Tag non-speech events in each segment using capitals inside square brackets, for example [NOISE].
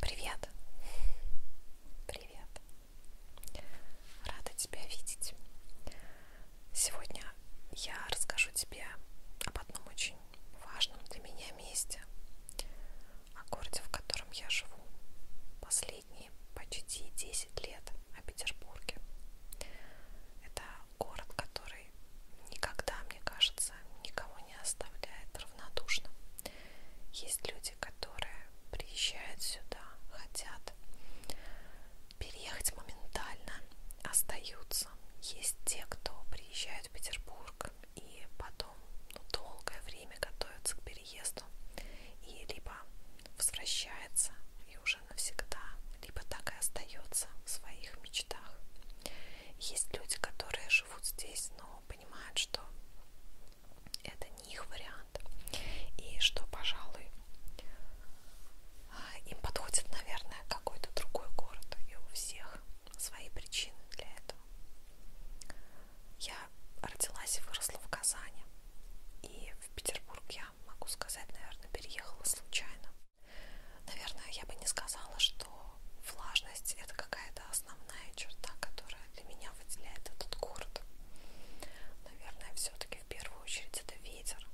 Привет. Привет. Рада тебя видеть. Сегодня я расскажу тебе об одном очень важном для меня месте, о городе, в котором я живу последние почти 10 лет, о Петербурге. Это город, который никогда, мне кажется, никого никого не оставляет равнодушным. Есть люди, которые приезжают сюда, хотят переехать моментально, остаются. Есть те, кто приезжает в Петербург и потом ну, долгое время готовятся к переезду и либо возвращается и уже навсегда, либо так и остается в своих мечтах. Есть люди, которые живут здесь, но понимают, что это не их вариант. И что, пожалуй, им подходит, наверное, какой-то другой город. И у всех свои причины для этого. Я родилась и выросла в Казани. И в Петербург я, могу сказать, наверное, переехала случайно. Наверное, я бы не сказала, что влажность это какая-то основная черта, которая для меня выделяет этот город. Наверное, все-таки в первую очередь это ветер.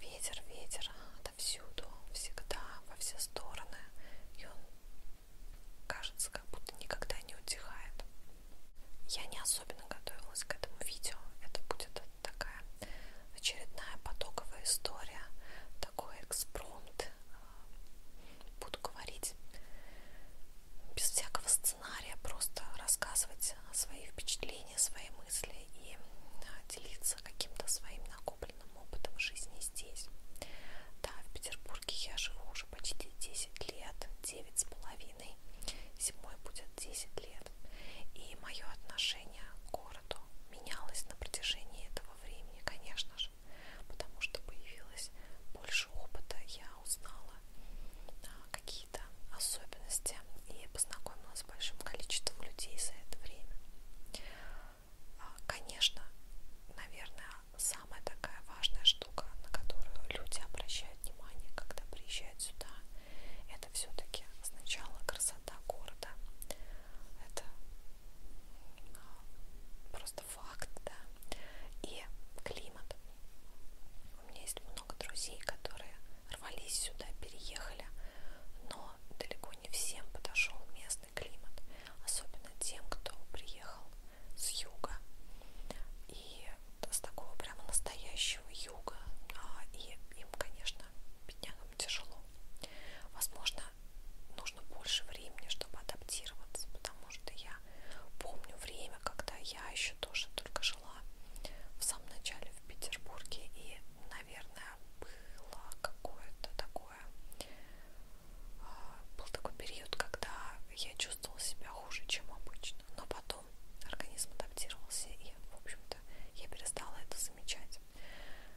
Ветер, ветер отовсюду, всегда, во все стороны. И он кажется, как будто никогда не утихает. Я не особенно готовилась к этому видео. Это будет такая очередная потоковая история, такой экспромт буду говорить без всякого сценария, просто рассказывать свои впечатления, свои мысли и а, делиться каким-то своим накопленным опытом жизни здесь. Да, в Петербурге я живу уже почти 10 лет, 9 с половиной, зимой будет 10 лет. И мое отношение к городу менялось на протяжении этого времени, конечно же персонажа, потому что появилось больше опыта, я узнала а, какие-то особенности и познакомилась с большим количеством людей за это время. А, конечно, наверное, самая такая важная штука, на которую люди обращают внимание, когда приезжают сюда, это все-таки сначала красота города. Это просто факт, да, и климат. У меня есть много друзей, которые рвались сюда, переехали, но далеко не всем подошел местный климат, особенно тем, кто приехал с юга и с такого прямо настоящего юга, а, и им, конечно, беднягам тяжело. Возможно, нужно больше времени, чтобы адаптироваться, потому что я помню время, когда я еще тоже только жила в самом начале в Петербурге, и, наверное, было какое-то такое, а, был такой период, когда я чувствовала себя хуже, чем обычно, но потом организм адаптировался, и, в общем-то, я перестала это замечать.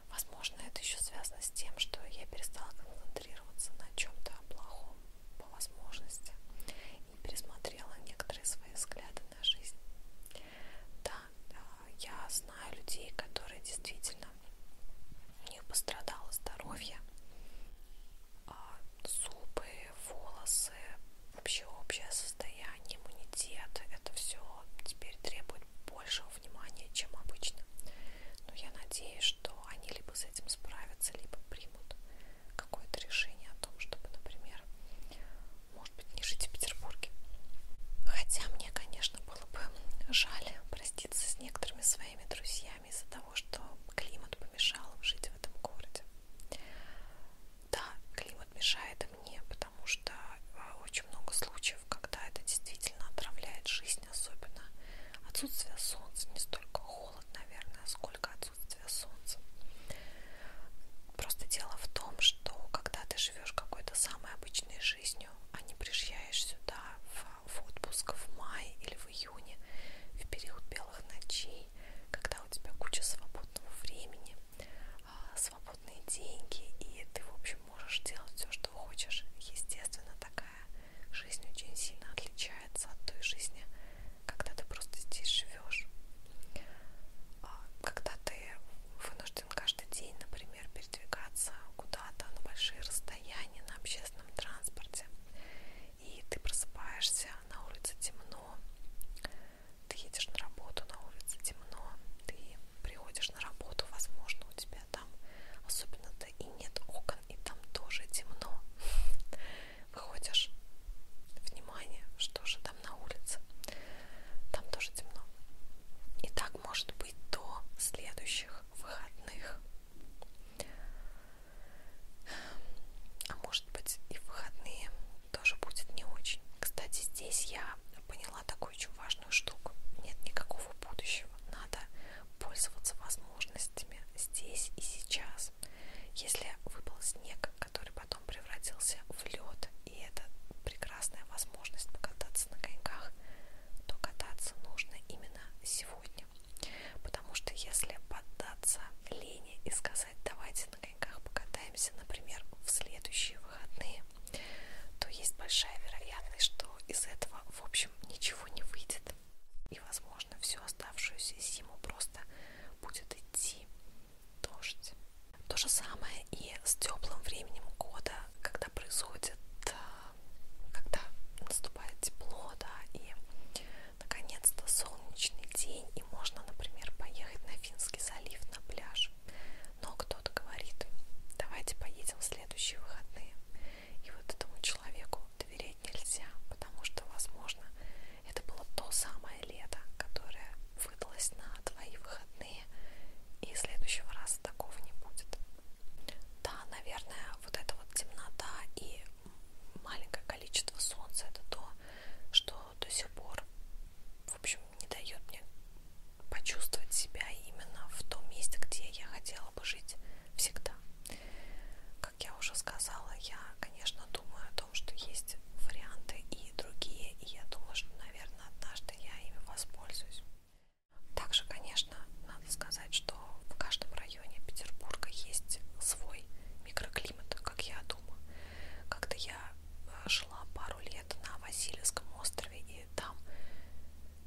Возможно, это еще связано с тем, что я перестала концентрироваться на чем-то плохом по возможности и пересмотрела некоторые свои взгляды на жизнь. Да, э, я знаю людей, которые действительно у них пострадало здоровье, а, зубы, волосы, вообще общее состояние, иммунитет. Это все теперь требует большего внимания, чем обычно. Но я надеюсь, что они либо с этим справятся, либо примут какое-то решение о том, чтобы, например, может быть, не жить в Петербурге. Хотя мне, конечно, было бы жаль проститься с некоторыми своими друзьями из-за того, что климат помешал им жить в этом городе. Да, климат мешает и мне, потому что э, очень много случаев, когда это действительно отравляет жизнь жизнь особенно. Отсутствие солнца, не столько холод, наверное, сколько отсутствие солнца. Просто дело в том, что когда ты живешь какой-то самой обычной жизнью, а не приезжаешь сюда в, в отпуск в мае или в июне, в период белых ночей, когда у тебя куча свободного времени, а, свободные деньги, и ты, в общем, общем, можешь делать все, что хочешь. Естественно, такая жизнь очень сильно отличается от той жизни, когда ты просто здесь живешь. А, когда ты вынужден каждый день, например, передвигаться куда-то на большие расстояния на общественном транспорте, и ты просыпаешься, на улице темно, ты едешь на работу, на улице темно, ты приходишь на работу, возможно, у тебя тебя там особенно-то и нет окон, и там тоже темно. [LAUGHS] Выходишь, внимание, что же там на улице, там тоже темно. И так может быть до следующих выходных. А может быть и в выходные тоже будет не очень. Кстати, здесь я поняла такую очень важную важную штуку. Нет никакого будущего. Надо пользоваться возможностями здесь и сейчас. Если выпал снег, который потом превратился в лед, и это прекрасная возможность покататься на коньках, то кататься нужно именно сегодня. Потому что если поддаться лени и сказать давайте на коньках покатаемся, например, в следующие выходные, то есть большая вероятность, что из этого, в общем, ничего не выйдет. И, возможно, всю оставшуюся зиму просто будет идти дождь. То же самое и с теплым временем года, когда происходит, а, когда наступает тепло, да, и наконец-то солнечный день, и можно, например, поехать на Финский залив на пляж. Но кто-то говорит, давайте поедем в следующие выходные. И вот этому человеку доверять нельзя, потому что, возможно, это было то самое лето, которое выдалось на твои выходные, и следующего раза такого не будет. Да, наверное, вот эта вот темнота и маленькое количество солнца это то, что до сих пор, в общем, не дает мне почувствовать себя именно в том месте, где я хотела бы жить всегда. Как я уже сказала, я, конечно, думаю о том, что есть варианты и другие, и я думаю, что, наверное, однажды я ими воспользуюсь. Также, конечно, надо сказать, что в каждом районе Петербурга есть свой микроклимат, как я думаю. Как-то я э, жила пару лет на Васильевском острове, и там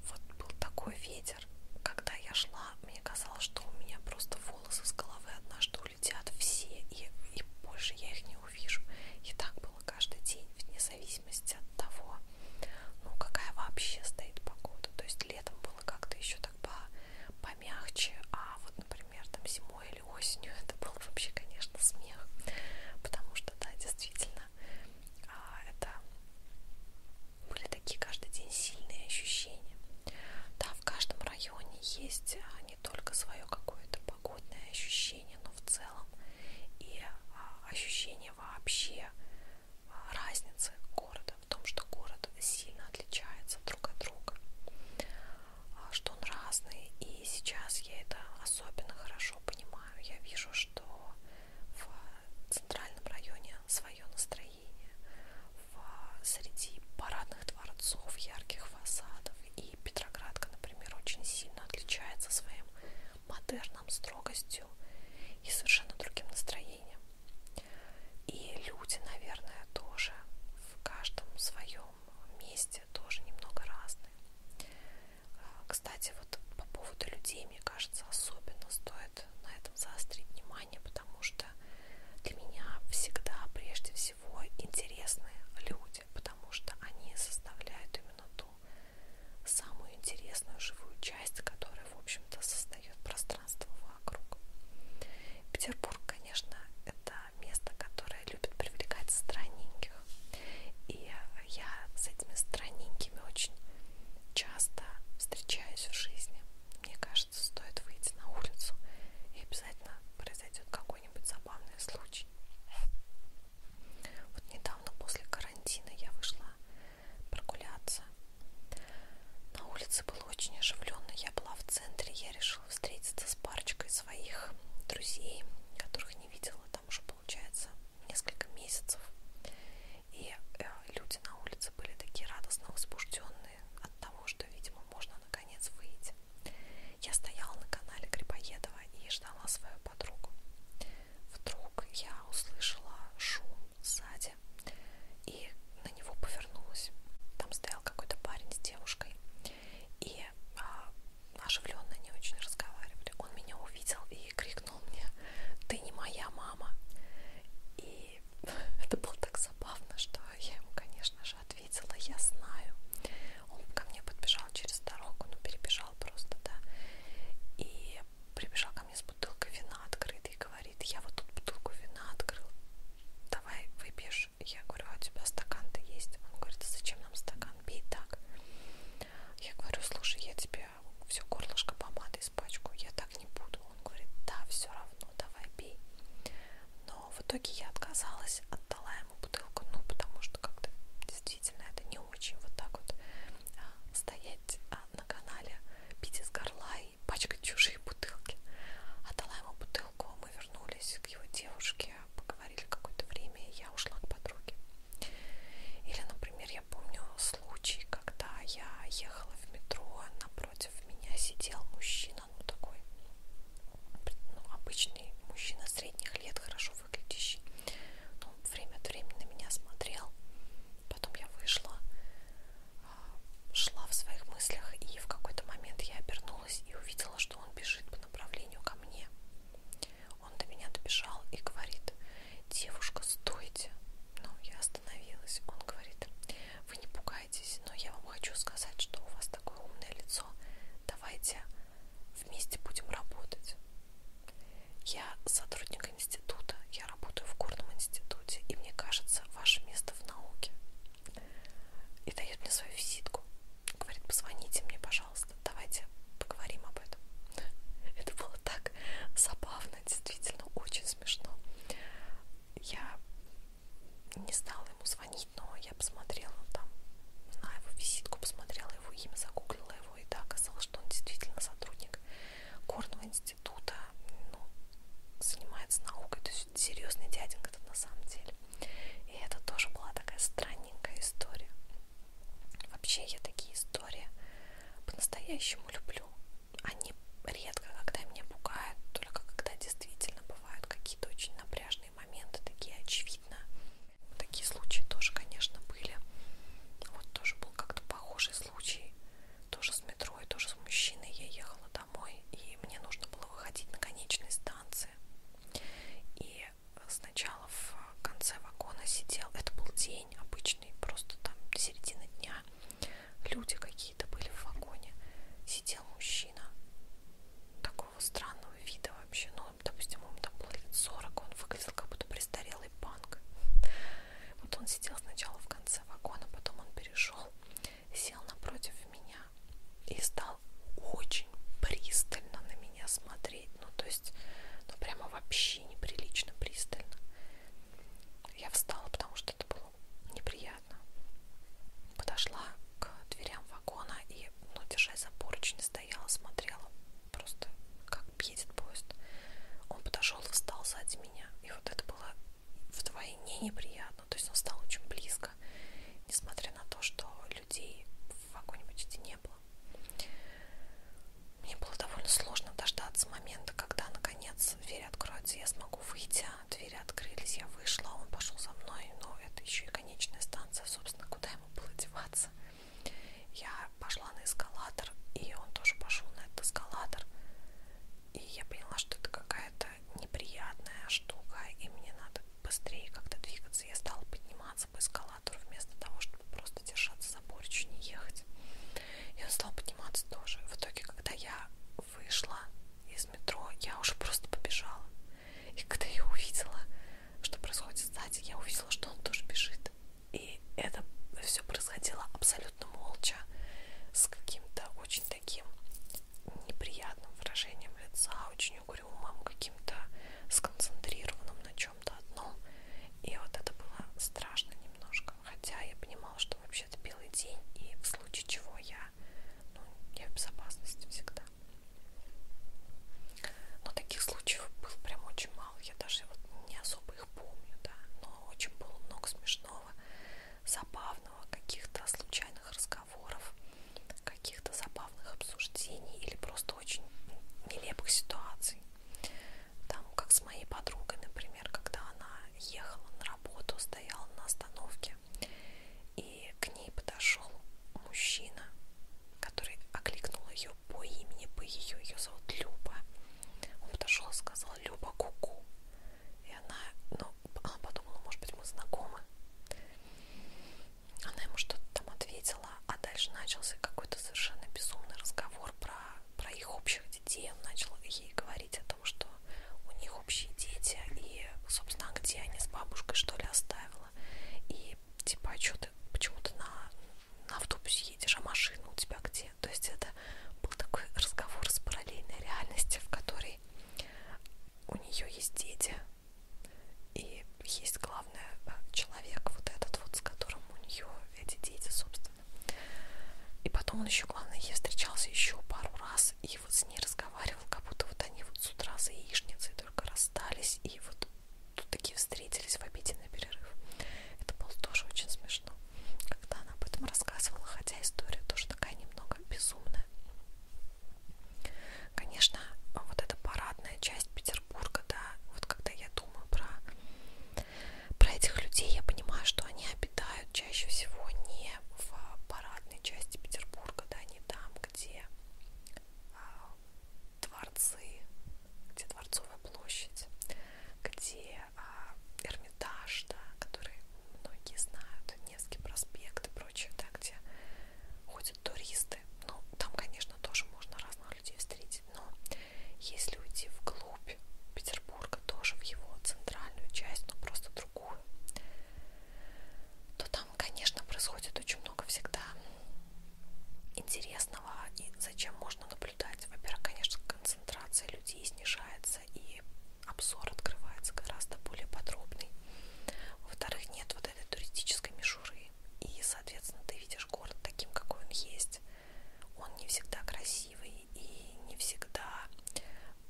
вот был такой ветер. Когда я шла, мне казалось, что у меня просто волосы с головы однажды улетят все, и, и больше я их не увижу. И так было каждый день, вне зависимости от того, ну какая вообще стоит погода. То есть летом было как-то еще так по, помягче, а вот, например, там зимой или осенью [LAUGHS] это был вообще, конечно, смех. Потому что, да, действительно, приятно. А, это были такие каждый день сильные ощущения. Да, в каждом районе есть а, не только свое какое-то погодное ощущение, но в целом и а, ощущение вообще разницы города в том, что город сильно отличается друг от друга, что он разный. И сейчас я это особенно хорошо понимаю. Я вижу, что в центральном районе свое настроение, в, среди парадных дворцов, ярких фасадов. И Петроградка, например, очень сильно отличается своим модерном, строгостью и совершенно другим настроением. И люди, наверное, тоже в каждом своем месте тоже немного разные. Кстати, вот по поводу людей, мне кажется, особенно стоит на этом заострить внимание, потому что для меня всегда, прежде всего, интересны люди, потому что они составляют именно ту самую интересную живую часть, которая, в общем-то, создает пространство вокруг. Петербург, конечно, это место, которое любит привлекать странненьких. И я с этими странненькими очень часто встречаюсь в жизни. Мне кажется, стоит выйти на улицу, и обязательно произойдет какой-нибудь забавный случай. Вот недавно после карантина я вышла прогуляться. На улице было очень оживленно. Я была в центре, я решила встретиться с парочкой своих друзей, которых не видела там уже получается, несколько месяцев. И э, люди на улице были такие радостно возбужденные от того, что, видимо, можно наконец выйти. Я стояла на канале Грибоедова и ждала свою подругу. Вдруг я услышала шум сзади и на него повернулась. Там стоял какой-то парень с девушкой. И а, оживленно не очень разговаривали. Он меня увидел и крикнул шепнул мне, ты не моя мама. И [LAUGHS] это было так забавно, что я ему, конечно же, ответила, я знаю. Он ко мне подбежал через дорогу, ну перебежал просто, да. И прибежал ко мне с бутылкой вина открытой и говорит, я вот тут бутылку вина открыл, давай выпьешь. Я говорю, а у тебя стакан-то есть? Он говорит, зачем нам стакан, пей так. Я говорю, слушай, я тебе все горлышко помады испачкаю, я так не буду. Он говорит, да, все равно, давай пей. Но в итоге я отказалась, отдала ему бутылку, ну, потому что как-то действительно это не очень вот так вот а, стоять а, на канале, пить из горла и пачкать чужие бутылки. Отдала ему бутылку, мы вернулись к его девушке, поговорили какое-то время, и я ушла к подруге. Или, например, я помню случай, когда я ехала в метро, а напротив меня сидел мужчина, ну такой ну, обычный мужчина средних лет, хорошо выглядящий. Но он время от времени на меня смотрел. Потом я вышла, а, шла в своих мыслях, и в какой-то момент я обернулась и увидела, что он бежит по направлению ко мне. Он до меня добежал и говорит, девушка, стойте. Ну, я остановилась. Он говорит, вы не пугайтесь, но я вам хочу сказать, что у вас такое умное лицо. Давайте вместе будем работать. Я сотрудник института, я работаю в горном институте, и мне кажется, ваше место в науке. И дает мне свою визитку. Говорит, позвоните мне, пожалуйста пожалуйста, давайте поговорим об этом. [LAUGHS] Это было так забавно, действительно очень смешно. Я не стала ему звонить, но я посмотрела там на его визитку, посмотрела его имя, загуглила его, и да, оказалось, что он действительно сотрудник горного института, ну, занимается наукой, то есть серьезный дяденька-то на самом деле. И это тоже была такая странненькая история. Вообще я такие истории по-настоящему люблю. Они редко, когда меня пугают, только когда действительно бывают какие-то очень напряжные моменты, такие очевидно. Такие случаи тоже, конечно, были. Вот тоже был как-то похожий случай. Тоже с метро и тоже с мужчиной я ехала домой, и мне нужно было выходить на конечной станции. И сначала в конце вагона сидел, это был день обычный, просто там середина дня, люди какие-то были в вагоне, сидел мужчина такого странного вида вообще, ну, допустим, ему там было лет 40, он выглядел как будто престарелый банк. Вот он сидел сначала в конце вагона, потом он перешел, сел напротив меня и стал очень пристально на меня смотреть смотреть, ну то есть, ну прямо вообще неприлично пристально. Я встала, потому что это было неприятно. Подошла к дверям вагона и, ну, держась за поручни, стояла, смотрела просто, как едет поезд. Он подошел и встал сзади меня. И вот это было вдвойне неприятно. То есть он стал очень близко, несмотря на то, что людей в вагоне почти не было погибла. Мне было довольно сложно дождаться момента, когда, наконец, дверь откроется, я смогу выйти. А двери открылись, я вышла, он пошел за мной, но это еще и конечная станция, собственно, куда ему было деваться. Я пошла на эскалатор, и он тоже пошел на этот эскалатор. И я поняла, что это какая-то неприятная штука, и мне надо быстрее как-то двигаться. Я стала подниматься подниматься по эскалатору вместо того, чтобы просто держаться за поручень и ехать. И он стал подниматься тоже. В итоге, когда я вышла из метро, я уже просто побежала. И когда я увидела, что происходит сзади, я увидела, что он тоже бежит. И это все происходило абсолютно молча, с каким-то очень таким неприятным выражением лица, очень угрюмым, каким-то сконцентрированным на чем чем-то одном. И вот это было страшно немножко. Хотя я понимала, что вообще-то белый день, и в случае чего я, ну, я в безопасности всегда. Но таких случаев было прям очень мало. Я даже вот не особо их помню, да. Но очень было много смешного, забавного, каких-то случайных разговоров, каких-то забавных обсуждений или просто очень нелепых ситуаций. Там, как с моей подругой, например, когда она ехала на работу, стояла на остановке, и к ней подошел мужчина, который окликнул ее по имени, по ее, ее зовут Люба. Он подошел и сказал Люба Куку. -ку». И она, ну, она подумала, может быть, мы знакомы. Она ему что-то там ответила, спала, а дальше начался какой-то совершенно безумный разговор про, про их общих детей. Он начал ей говорить о том, что у них общие дети, и, собственно, а где они с бабушкой, что ли, оставила. И, типа, а что ты, почему ты на, на автобусе едешь, а машина у тебя где? То есть это был такой разговор с параллельной реальностью, в которой у нее есть дети, и есть главное э, человек, вот этот вот, с которым у нее эти дети, собственно. И потом он еще, главное, ей встречался еще пару раз и вот с ней разговаривал, как будто вот они вот с утра за яичницей только расстались и вот тут такие встретились в обеденный перерыв. Это было тоже очень смешно, когда она об этом рассказывала, хотя история тоже такая немного безумная. Конечно, вот эта парадная часть Петербурга Петербурга, да, вот когда я думаю про, про этих людей, я понимаю, что они обитают чаще всего не в парадной части Петербурга, да, не там, где а, дворцы, где Дворцовая площадь, где а, Эрмитаж, да, который многие знают, Невский проспект и прочее, да, где ходят ходят туристы. Ну, там, конечно, тоже можно разных людей встретить, но если уйти вглубь Петербурга, тоже в его центральную часть, но просто другую, то там, конечно, происходит очень много всегда интересного и зачем можно наблюдать. Во-первых, конечно, концентрация людей снижается и обзор открывается гораздо более подробный. Во-вторых, нет вот этой туристической мишуры. И, соответственно, ты видишь город таким, какой он есть. Он не всегда красивый и не всегда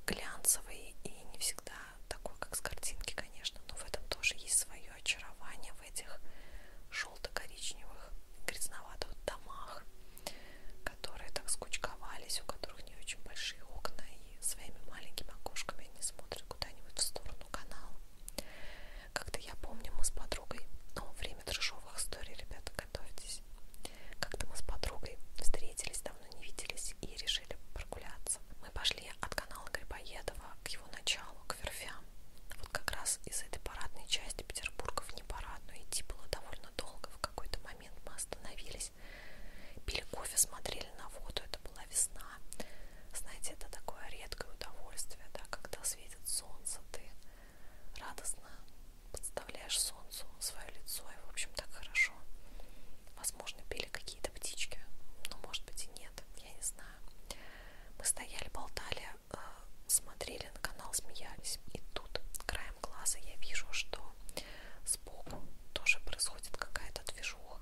глянцевый и не всегда такой, как с картинки, конечно, но в этом тоже есть свое очарование в этих желто-коричневых, грязноватых домах, которые так скучковались, у которых не очень большие окна, и своими маленькими окошками они смотрят куда-нибудь в сторону канала. Как-то я помню, мы с подругой, ну, время трешовых историй, ребята, готовьтесь. Как-то мы с подругой встретились, давно не виделись и решили прогуляться. Мы пошли от канала Грибоедова к его началу, к верфям. Вот как раз из этой парадной части Петербурга в непарадную идти было довольно долго. В какой-то момент мы остановились, пили кофе, смотрели на воду. Это была весна. Знаете, это такое редкое удовольствие, да, когда светит солнце, ты радостно подставляешь солнцу свое лицо, и, в общем, так хорошо. Возможно, пели какие-то птички, но, может быть, и нет, я не знаю. Мы стояли, болтали, э, смотрели на канал, смеялись, и тут краем глаза я вижу, что сбоку тоже происходит какая-то движуха.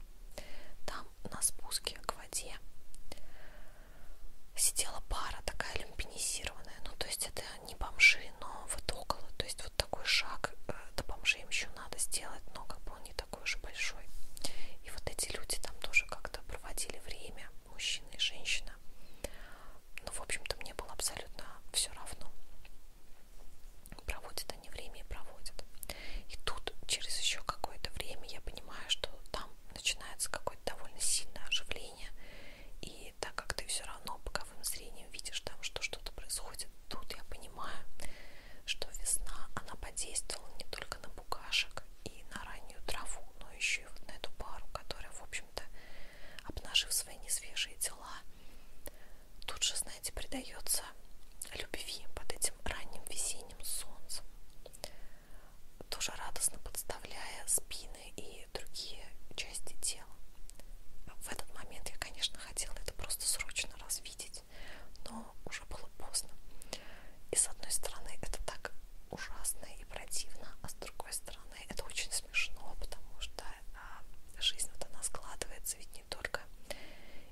Там на спуске к воде сидела пара такая люмпинизированная, ну то есть это не бомжи, но вот около, то есть вот такой шаг э, до бомжей им еще надо сделать, но как бы он не такой уж большой. И вот эти люди там тоже как-то проводили время, мужчина и женщина. Ну, в общем-то, мне было абсолютно все равно. Проводят они время и проводят. И тут через еще какое-то время я понимаю, что там начинается какое-то довольно сильное оживление. И так как ты все равно боковым зрением видишь там, что что-то происходит, тут я понимаю, что весна, она подействовала не только на букашек и на раннюю траву, но еще и вот на эту пару, которая, в общем-то, обнажив свои несвежие тела, тут же, знаете, придается любви под этим ранним весенним солнцем тоже радостно подставляя спины и другие части тела. В этот момент я, конечно, хотела это просто срочно развидеть, но уже было поздно. И с одной стороны, это так ужасно и противно, а с другой стороны, это очень смешно, потому что а, жизнь вот она складывается ведь не только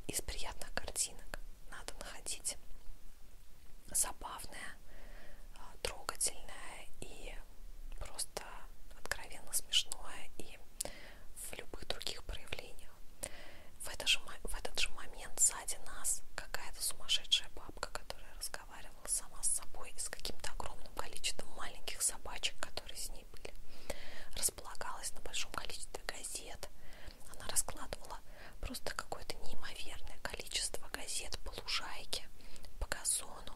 из приятных картинок надо находить забавное, а, трогательное и просто откровенно смешное и в любых других проявлениях. В этот же, в этот же момент сзади нас какая-то сумасшедшая бабка, которая разговаривала сама с собой и с каким-то огромным количеством маленьких собачек, которые с ней были, располагалась на большом количестве газет, она раскладывала просто какое-то неимоверное количество газет по лужайке, по газону.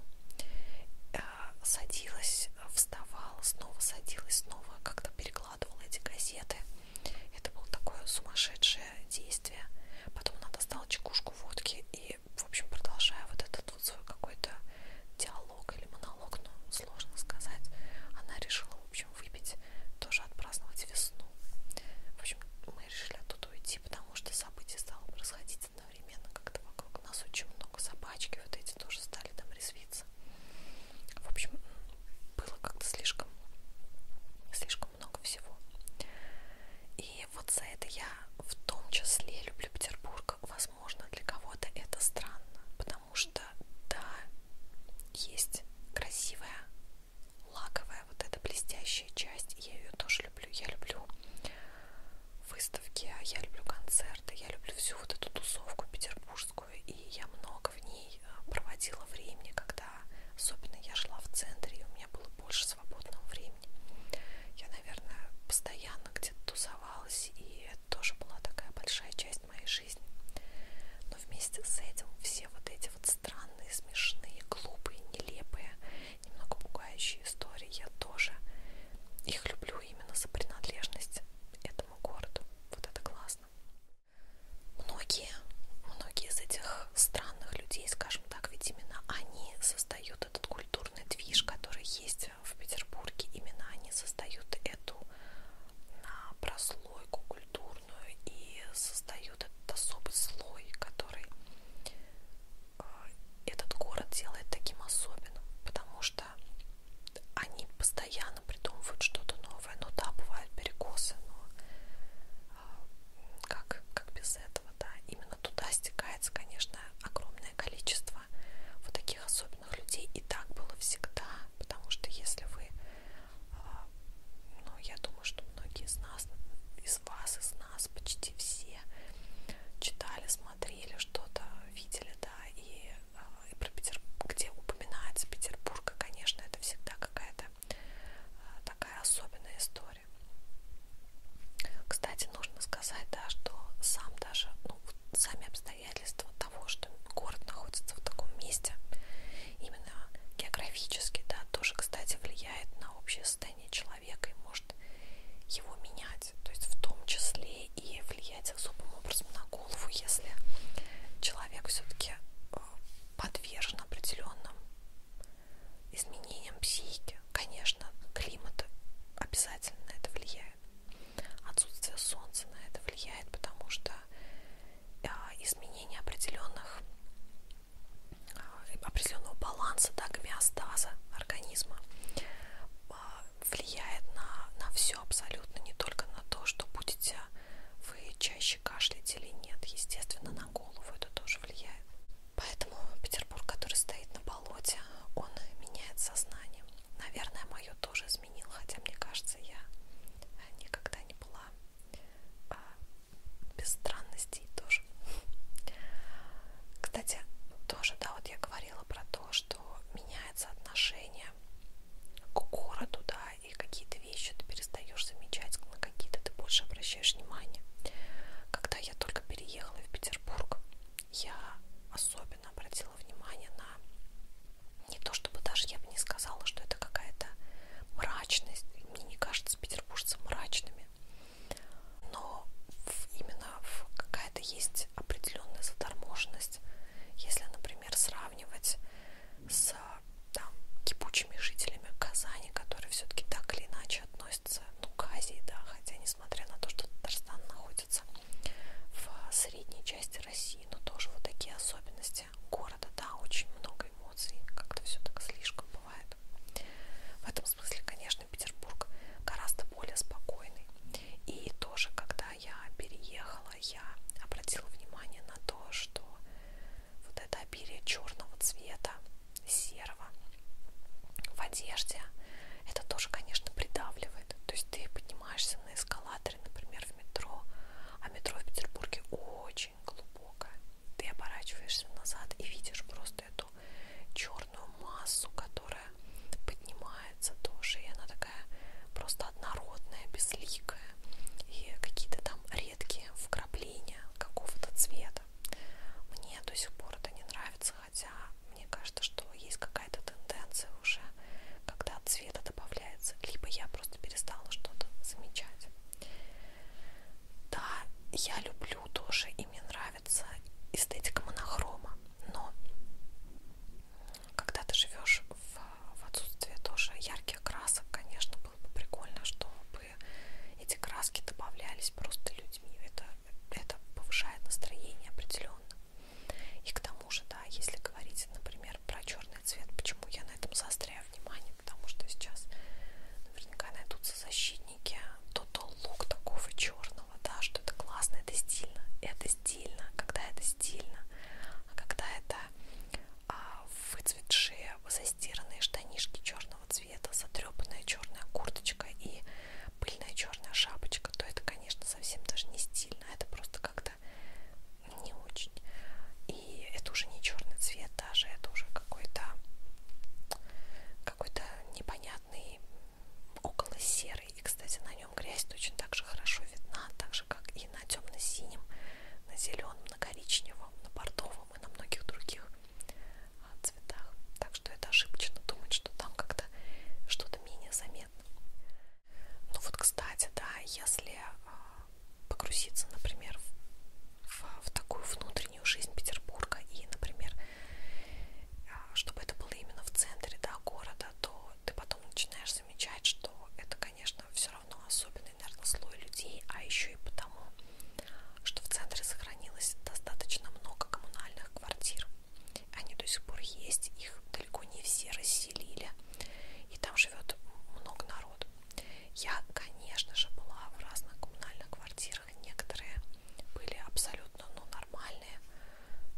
Э, садилась, вставала, снова садилась, снова как-то перекладывала эти газеты. Это было такое сумасшедшее действие. Потом она достала чекушку водки и, в общем, продолжая вот этот вот свой какой-то диалог или монолог, ну, сложно сказать, она решила в общем, выпить, тоже отпраздновать весну. В общем, мы решили оттуда уйти, потому что события стало происходить одновременно, как-то вокруг нас очень много собачки, вот эти тоже стали там резвиться. В общем, было как-то слишком, слишком много всего. И вот за это я в том числе люблю Петербург. Возможно, для кого-то это странно, потому что, да, есть красивая лаковая вот эта блестящая часть, я ее тоже люблю. Я люблю выставки, а я люблю концерты, я люблю всю вот эту тусовку петербургскую, и я много в ней э, проводила времени, когда особенно я шла в центре, и у меня было больше свободного времени. Я, наверное, постоянно где-то тусовалась, и это тоже была такая большая часть моей жизни. Но вместе с этим все вот эти вот страны, странные, смешные, глупые, нелепые, немного пугающие истории. Я тоже их люблю именно за принадлежность этому городу. Вот это классно. Многие, многие из этих странных людей, скажем так, ведь именно они создают этот культурный движ, который есть в Петербурге. Именно они создают эту прослойку культуры фактурную и создают этот особый слой, который э, этот город делает таким особенным, потому что они постоянно придумывают что-то новое. Ну да, бывают перекосы, но э, как, как без этого, да. Именно туда стекается, конечно, огромное количество вот таких особенных людей. И так было всегда, потому что если вы а, ну, я думаю, что многие из нас, из вас, из нас, почти все читали, смотрели что-то, видели, да, и, а, и про Петербург, где упоминается Петербург, конечно, это всегда какая-то а, такая особенная история. Кстати, нужно сказать, да, что сам даже, ну, сами обстоятельства того, что город находится в таком месте, именно географически, да, тоже, кстати, влияет на общее состояние человека и может его менять, то есть в том числе и влиять особым образом на голову, если человек все-таки э, подвержен определенным изменениям психики. Конечно, климат обязательно на это влияет. Отсутствие солнца на это влияет, потому что а, изменение определенных а, определенного баланса да, гомеостаза организма а, влияет на, на все абсолютно, не только на то, что будете вы чаще кашлять или нет, естественно, на голову это тоже влияет. Поэтому Петербург, который стоит на болоте, он меняет сознание. Наверное, мое тоже изменил, хотя мне кажется, я никогда не была а без странностей тоже. Кстати, тоже, да, вот я говорила про то, что меняется отношение к городу, да, и какие-то вещи ты перестаешь замечать, на какие-то ты больше обращаешь внимание. Когда я только переехала в Петербург, я особенно обратила внимание на не то чтобы даже я бы не сказала, что это какая-то мрачность мне не кажется петербуржцам мрачными, но именно какая-то есть определенная заторможенность, если, например, сравнивать с там, кипучими жителями Казани, которые все-таки так или иначе относятся ну, к Азии, да, хотя несмотря на то, что Татарстан находится в средней части России, но тоже вот такие особенности месте города, да, очень много эмоций, как-то все так слишком бывает. В этом смысле, конечно, Петербург гораздо более спокойный. И тоже, когда я переехала, я обратила внимание на то, что вот это обилие черного цвета, серого в одежде, это тоже, конечно, придавливает. То есть ты поднимаешься на эскалаторе, например, в метро, а метро в Петербурге очень очень глубокая. Ты оборачиваешься назад и видишь просто эту черную массу, которая поднимается тоже. И она такая просто однородная, безликая. И какие-то там редкие вкрапления какого-то цвета. Мне до сих пор это не нравится, хотя мне кажется, что есть какая-то тенденция уже, когда цвета добавляется. Либо я просто перестала что-то замечать. Да, я люблю тоже, и мне нравится эстетика монохрома, но когда ты живешь в, в отсутствии тоже ярких красок, конечно, было бы прикольно, чтобы эти краски добавлялись просто людьми. Это, это повышает настроение определенно. И к тому же, да, если говорить, например, про черный цвет. Почему я на этом заостряю внимание? Потому что сейчас наверняка найдутся защитники. То-то лук такого черного, да, что это классно, это стильно. Это стильно, а когда это стильно. А когда это а, выцветшие, застиранные штанишки черного цвета, затрепанная черная курточка и пыльная черная шапочка, то это, конечно, совсем даже не стильно. А это просто как-то не очень. И это уже не черный цвет даже, это уже какой-то какой-то непонятный около серый. И, кстати, на нем грязь точно так же хорошо видна, так же, как и на темно-синем, на зеленом, на коричневом, на бордовом и на многих других а, цветах. Так что это ошибочно думать, что там как-то что-то менее заметно. Ну вот, кстати, да, если а, погрузиться, например, в, в такую внутреннюю жизнь Петербурга и, например, а, чтобы это было именно в центре да, города, то ты потом начинаешь замечать, что это, конечно, все равно особенный, наверное, слой людей, а еще и потому, что в центре сохранилось достаточно много коммунальных квартир. Они до сих пор есть, их далеко не все расселили, и там живет много народу. Я, конечно же, была в разных коммунальных квартирах. Некоторые были абсолютно ну, нормальные.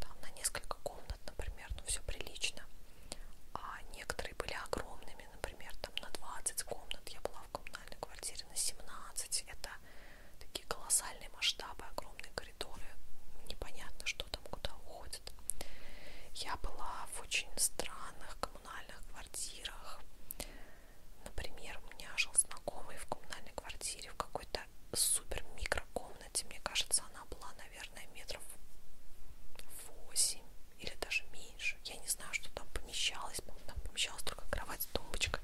Там на несколько комнат, например, ну все прилично. А некоторые были огромными, например, там на 20 комнат. Я была в коммунальной квартире на 17. Это такие колоссальные масштабы, огромные коридоры. Непонятно, что там куда уходит. Я была в очень странных коммунальных квартирах. Например, у меня жил знакомый в коммунальной квартире в какой-то супер микрокомнате. Мне кажется, она была, наверное, метров 8 или даже меньше. Я не знаю, что там помещалось. Там помещалась только кровать, тумбочка.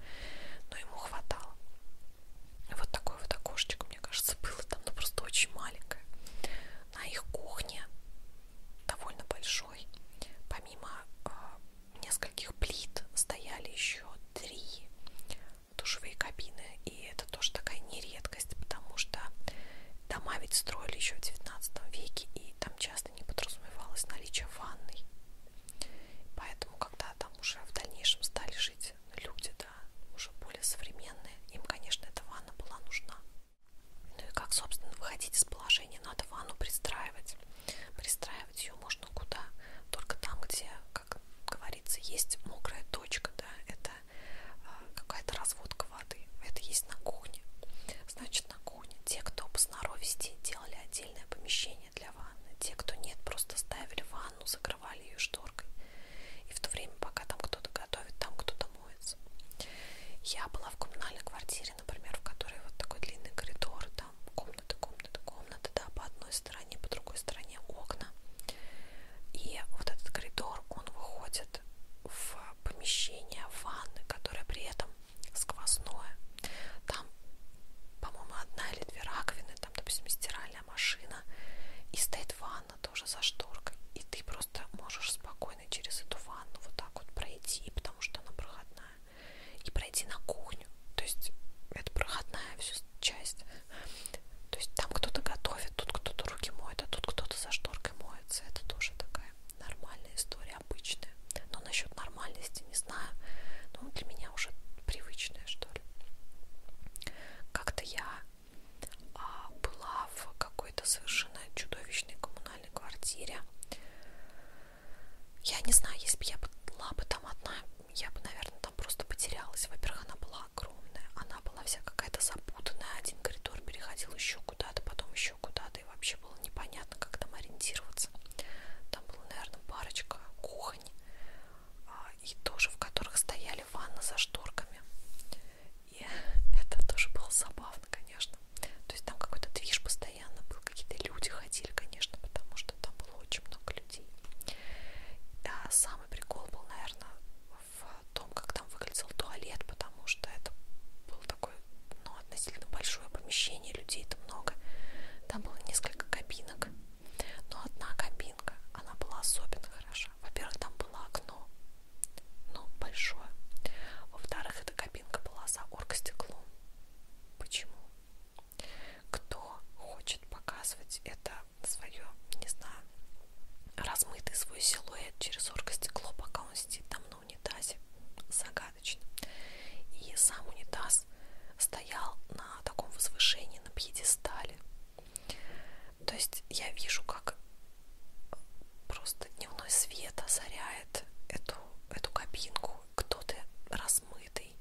Но ему хватало. Вот такое вот окошечко, мне кажется, было там, но ну, просто очень маленькое. На их кухне довольно большой. Помимо э, нескольких плит стояли еще три душевые кабины. И это тоже такая нередкость, потому что дома ведь строили еще в 19 веке, и там часто не подразумевалось наличие ванной. Поэтому, когда там уже в дальнейшем стали жить люди, да, уже более современные, им, конечно, эта ванна была нужна. Ну и как, собственно, выходить из положения? Надо ванну пристраивать. Пристраивать ее можно куда? Только там, где, как говорится, есть мокрая точка, да, это а, какая-то разводка воды. Это есть на кухне. Значит, на кухне те, кто по сноровисти делали отдельное помещение для ванны, те, кто нет, просто ставили ванну, закрывали ее шторкой. И в то время, пока там кто-то готовит, там кто-то моется. Я была в коммунальной квартире, например, в которой вот такой длинный коридор, там комната, комната, комната, да, по одной стороне, по другой стороне окна. И вот этот коридор, он выходит в помещение ванны, которое при этом сквозное. Там, по-моему, одна или две раковины, там, допустим, стиральная машина, и стоит ванна, ванна тоже за шторкой. И ты просто можешь спокойно через эту ванну вот так вот пройти, потому что она проходная. И пройти на кухню. То есть это проходная всю часть. То есть там кто-то готовит, тут кто-то руки моет, а тут кто-то за шторкой моется. Это тоже такая нормальная история, обычная. Но насчет нормальности не знаю. Ну, для меня уже привычная, что ли. Как-то я а, была в какой-то совершенно чудовищной коммунальной квартире. Я не знаю, если бы я была бы там одна, я бы, наверное, там просто потерялась. Во-первых, она была огромная, она была вся какая-то запутанная. Один коридор переходил еще куда-то, потом еще куда-то, и вообще было непонятно, как там ориентироваться. Там была, наверное, парочка кухонь, а, и тоже в которых стояли ванны за шторками. И [LAUGHS] это тоже было забавно, конечно. То есть там какой-то движ постоянно был, какие-то люди ходили, конечно, потому что там было очень много людей. А самый прикол был, наверное, в том, как там выглядел туалет, потому что это было такое, ну, относительно большое помещение, людей-то много. Там было несколько кабинок, но одна кабинка, она была особенно хороша. Во-первых, там было окно, но ну, большое. Во-вторых, эта кабинка была за оргстеклом. Почему? Кто хочет показывать это свое, не знаю, размытый свой силуэт через оргостекло, пока он сидит там на унитазе? Загадочно. И сам унитаз стоял на таком возвышении, на пьедестале. То есть я вижу, как просто дневной свет озаряет эту, эту кабинку. Кто-то размытый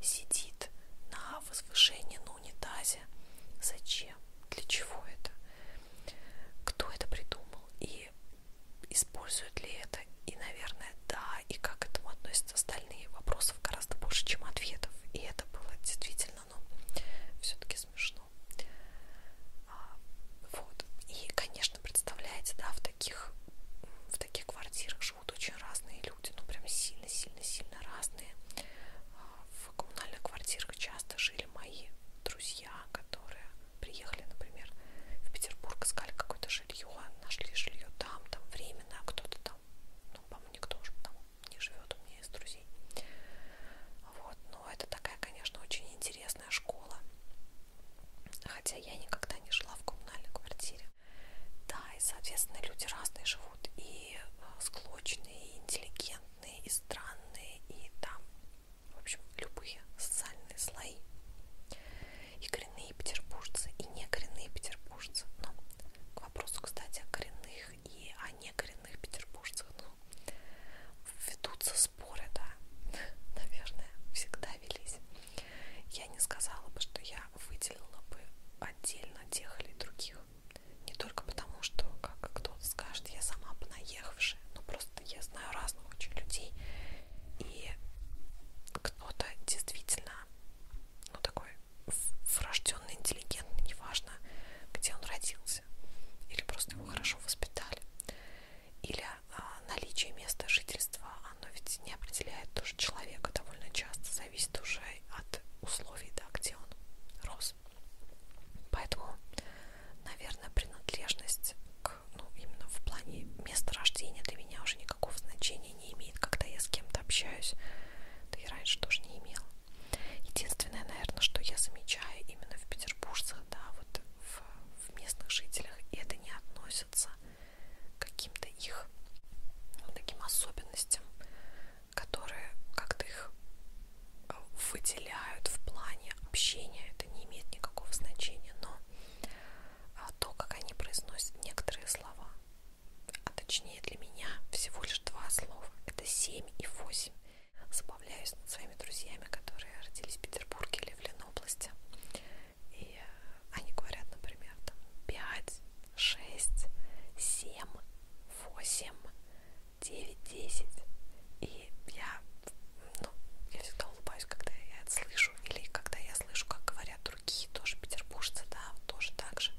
сидит на возвышении на унитазе. Зачем? Для чего это? Кто это придумал? И используют ли это? И, наверное, да. И как к этому относятся остальные? Вопросов гораздо больше, чем ответов. И это было действительно, ну, все-таки смешно. А, вот. И, конечно, представляете, да, в таких, в таких квартирах живут очень разные люди, ну прям сильно-сильно-сильно разные. А, в коммунальных квартирах часто жили мои друзья, которые приехали, например, в Петербург, искали какое-то жилье, нашли жилье там, там временно, а кто-то там, ну, по-моему, никто уже там не живет, у меня есть друзей. Вот, но это такая, конечно, очень интересная интересная школа. Хотя я никогда не жила в коммунальной квартире. Да, и, соответственно, люди разные живут. И э, склочные, и интеллигентные, и странные, и там, в общем, любые социальные слои. И коренные петербуржцы, и не коренные петербуржцы. Но к вопросу, кстати, о коренных и о некоренных петербуржцах, ну, ведутся споры, да, [LAUGHS] наверное, всегда велись. Я не сказала бы, что я выделила бы отдельно тех или других. Не только потому, что, как кто-то скажет, я сама понаехавшая, но просто я знаю разных очень людей, и кто-то действительно, ну, такой врожденный, интеллигентный, неважно, где он родился родился, или просто его хорошо воспитали, или а, наличие места жительства, оно ведь не определяет тоже человека довольно часто, зависит уже от условий, да, где он рос. Поэтому, наверное, принадлежность к, ну, именно в плане места рождения для меня уже никакого значения не имеет, когда я с кем-то общаюсь, да и раньше тоже не имела. Единственное, наверное, что я замечаю именно в петербуржцах, да, вот в, в местных жителях, и это не относится к каким-то их ну, таким особенностям, которые как-то их э, выделяют в плане общения, это не имеет никакого значения, но а, то, как они произносят некоторые слова, а точнее для меня всего лишь два слова, это 7 и 8 забавляюсь над своими друзьями, которые родились в Петербурге или в Ленобласти. И э, они говорят, например, там 5, 6, 7, 8, 9, 10. И я, ну, я всегда улыбаюсь, когда я это слышу, или когда я слышу, как говорят другие тоже петербуржцы, да, тоже так же.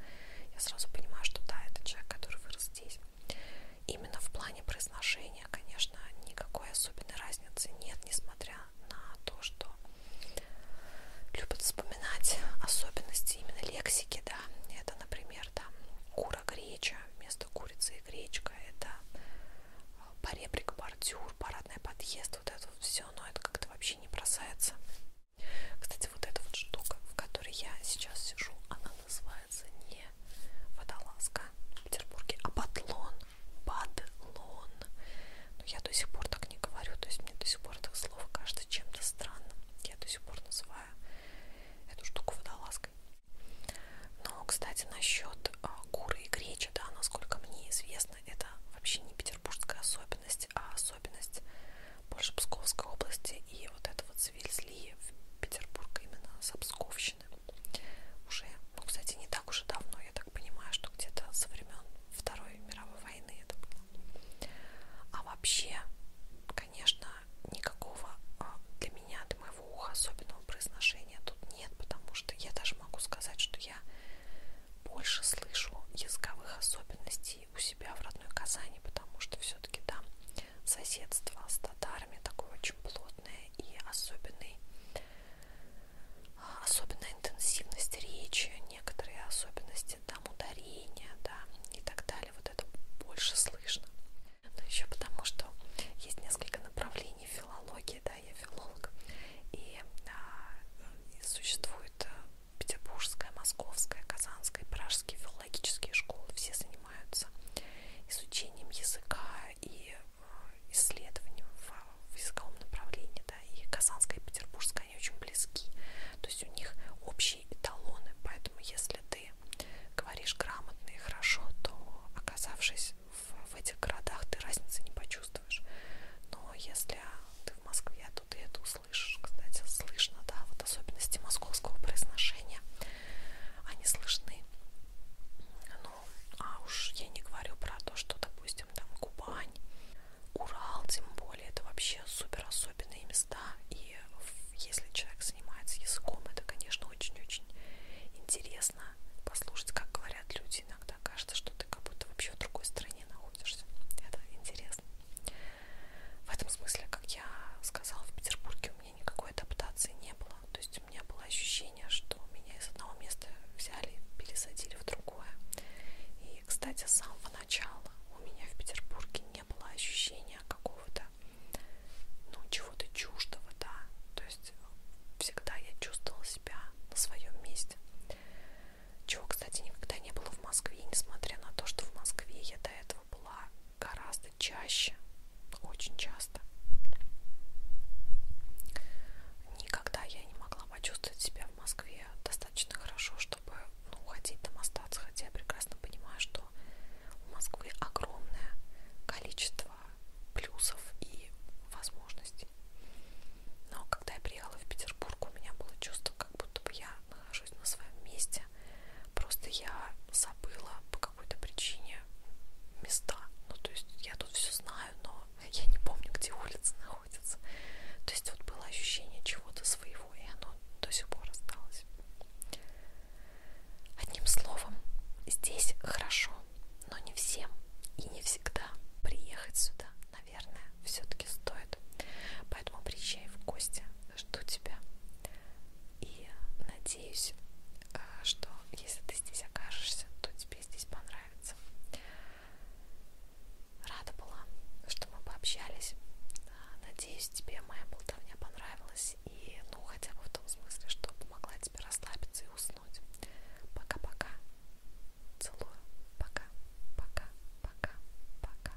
Я сразу понимаю, что да, это человек, который вырос здесь. Именно в плане произношения, конечно, никакой особенной разницы нет, несмотря на то, что любят вспоминать особенности именно лексики, да, это, например, там кура-греча вместо курицы и гречка, это а, поребрик, бордюр, парадный подъезд, вот это вот все, но это как-то вообще не бросается. Кстати, вот эта вот штука, в которой я сейчас сижу, она называется называется не водолазка в Петербурге, а батлон. Бадлон. Но ну, я до сих пор так не говорю, то есть мне до сих пор это слово кажется чем-то странным. Я до сих пор называю эту штуку водолазкой. Но, кстати, насчет а, куры и гречи, да, насколько мне известно, это вообще не петербургская особенность, а особенность больше Псковской области и вот этого завезли в Петербург именно с Обсковщины. Уже, ну, кстати, не так уже давно, я так понимаю, что где-то со времен Второй мировой войны это было. А вообще, конечно, никакого а, для меня, для моего уха особенного произношения тут нет, потому что я даже могу сказать, что я больше слышу языковых особенностей у себя в родной Казани, потому что все-таки там да, соседство с татарами, такое очень плотное и особенный, особенная интенсивность речи, некоторые особенности там ударения, да, и так далее. Вот это больше слышно. Но ну, еще потому, что есть несколько направлений филологии, да, я филолог, и, а, и существует э, петербургская, московская, казанская, пражские филологические школы, все занимаются занимаются изучением языка и э, исследованием в, в языковом направлении. Да, и Казанская и Петербургская, они очень близки. То есть у них общие эталоны. Поэтому если ты говоришь грамотно и хорошо, то оказавшись в, в этих городах, ты разницы не почувствуешь. Но если ты в Москве, то ты это услышишь. Кстати, слышно, да, вот особенности московского произношения – они слышны. Ну, а уж я не говорю про то, что, допустим, там Кубань, Урал, тем более, это вообще супер особенные места. И если человек занимается языком, это, конечно, очень-очень интересно послушать, как говорят люди. Иногда кажется, что ты как будто вообще в другой стране находишься. Это интересно. В этом смысле, как я сказала, в Петербурге у меня меня никакой адаптации не было. То есть у меня было ощущение, что меня из одного места взяли, пересадили в другое. И, кстати, с самого начала у меня в Петербурге не было ощущения какого-то, ну, чего-то чуждого, да. То есть всегда я чувствовала себя на своем месте. Чего, кстати, никогда не было в Москве, несмотря на то, что в Москве я до этого была гораздо часто, чаще, очень часто. Никогда я не могла почувствовать себя в Москве достаточно хорошо, чтобы ну, уходить там остаться, хотя я прекрасно понимаю, что у Москвы огромное количество плюсов и возможностей. Но когда я приехала в Петербург, у меня было чувство, как будто бы я нахожусь на своем месте. Просто я забыла, какой-то причине места. Ну, то есть я тут все знаю, но я не помню, где улица находится. То есть вот было ощущение чего-то своего, и оно до сих пор осталось. Одним словом, здесь хорошо, но не всем и не всегда приехать сюда, наверное, все-таки стоит. Поэтому приезжай в гости, жду тебя. И надеюсь, надеюсь, э, что если ты здесь окажешься, то тебе здесь понравится. Рада была, что мы пообщались. Э, надеюсь, тебе моя болтовня понравилась и, ну, хотя бы в том смысле, что помогла тебе расслабиться и уснуть. Пока-пока. Целую. Пока. Пока. Пока. Пока.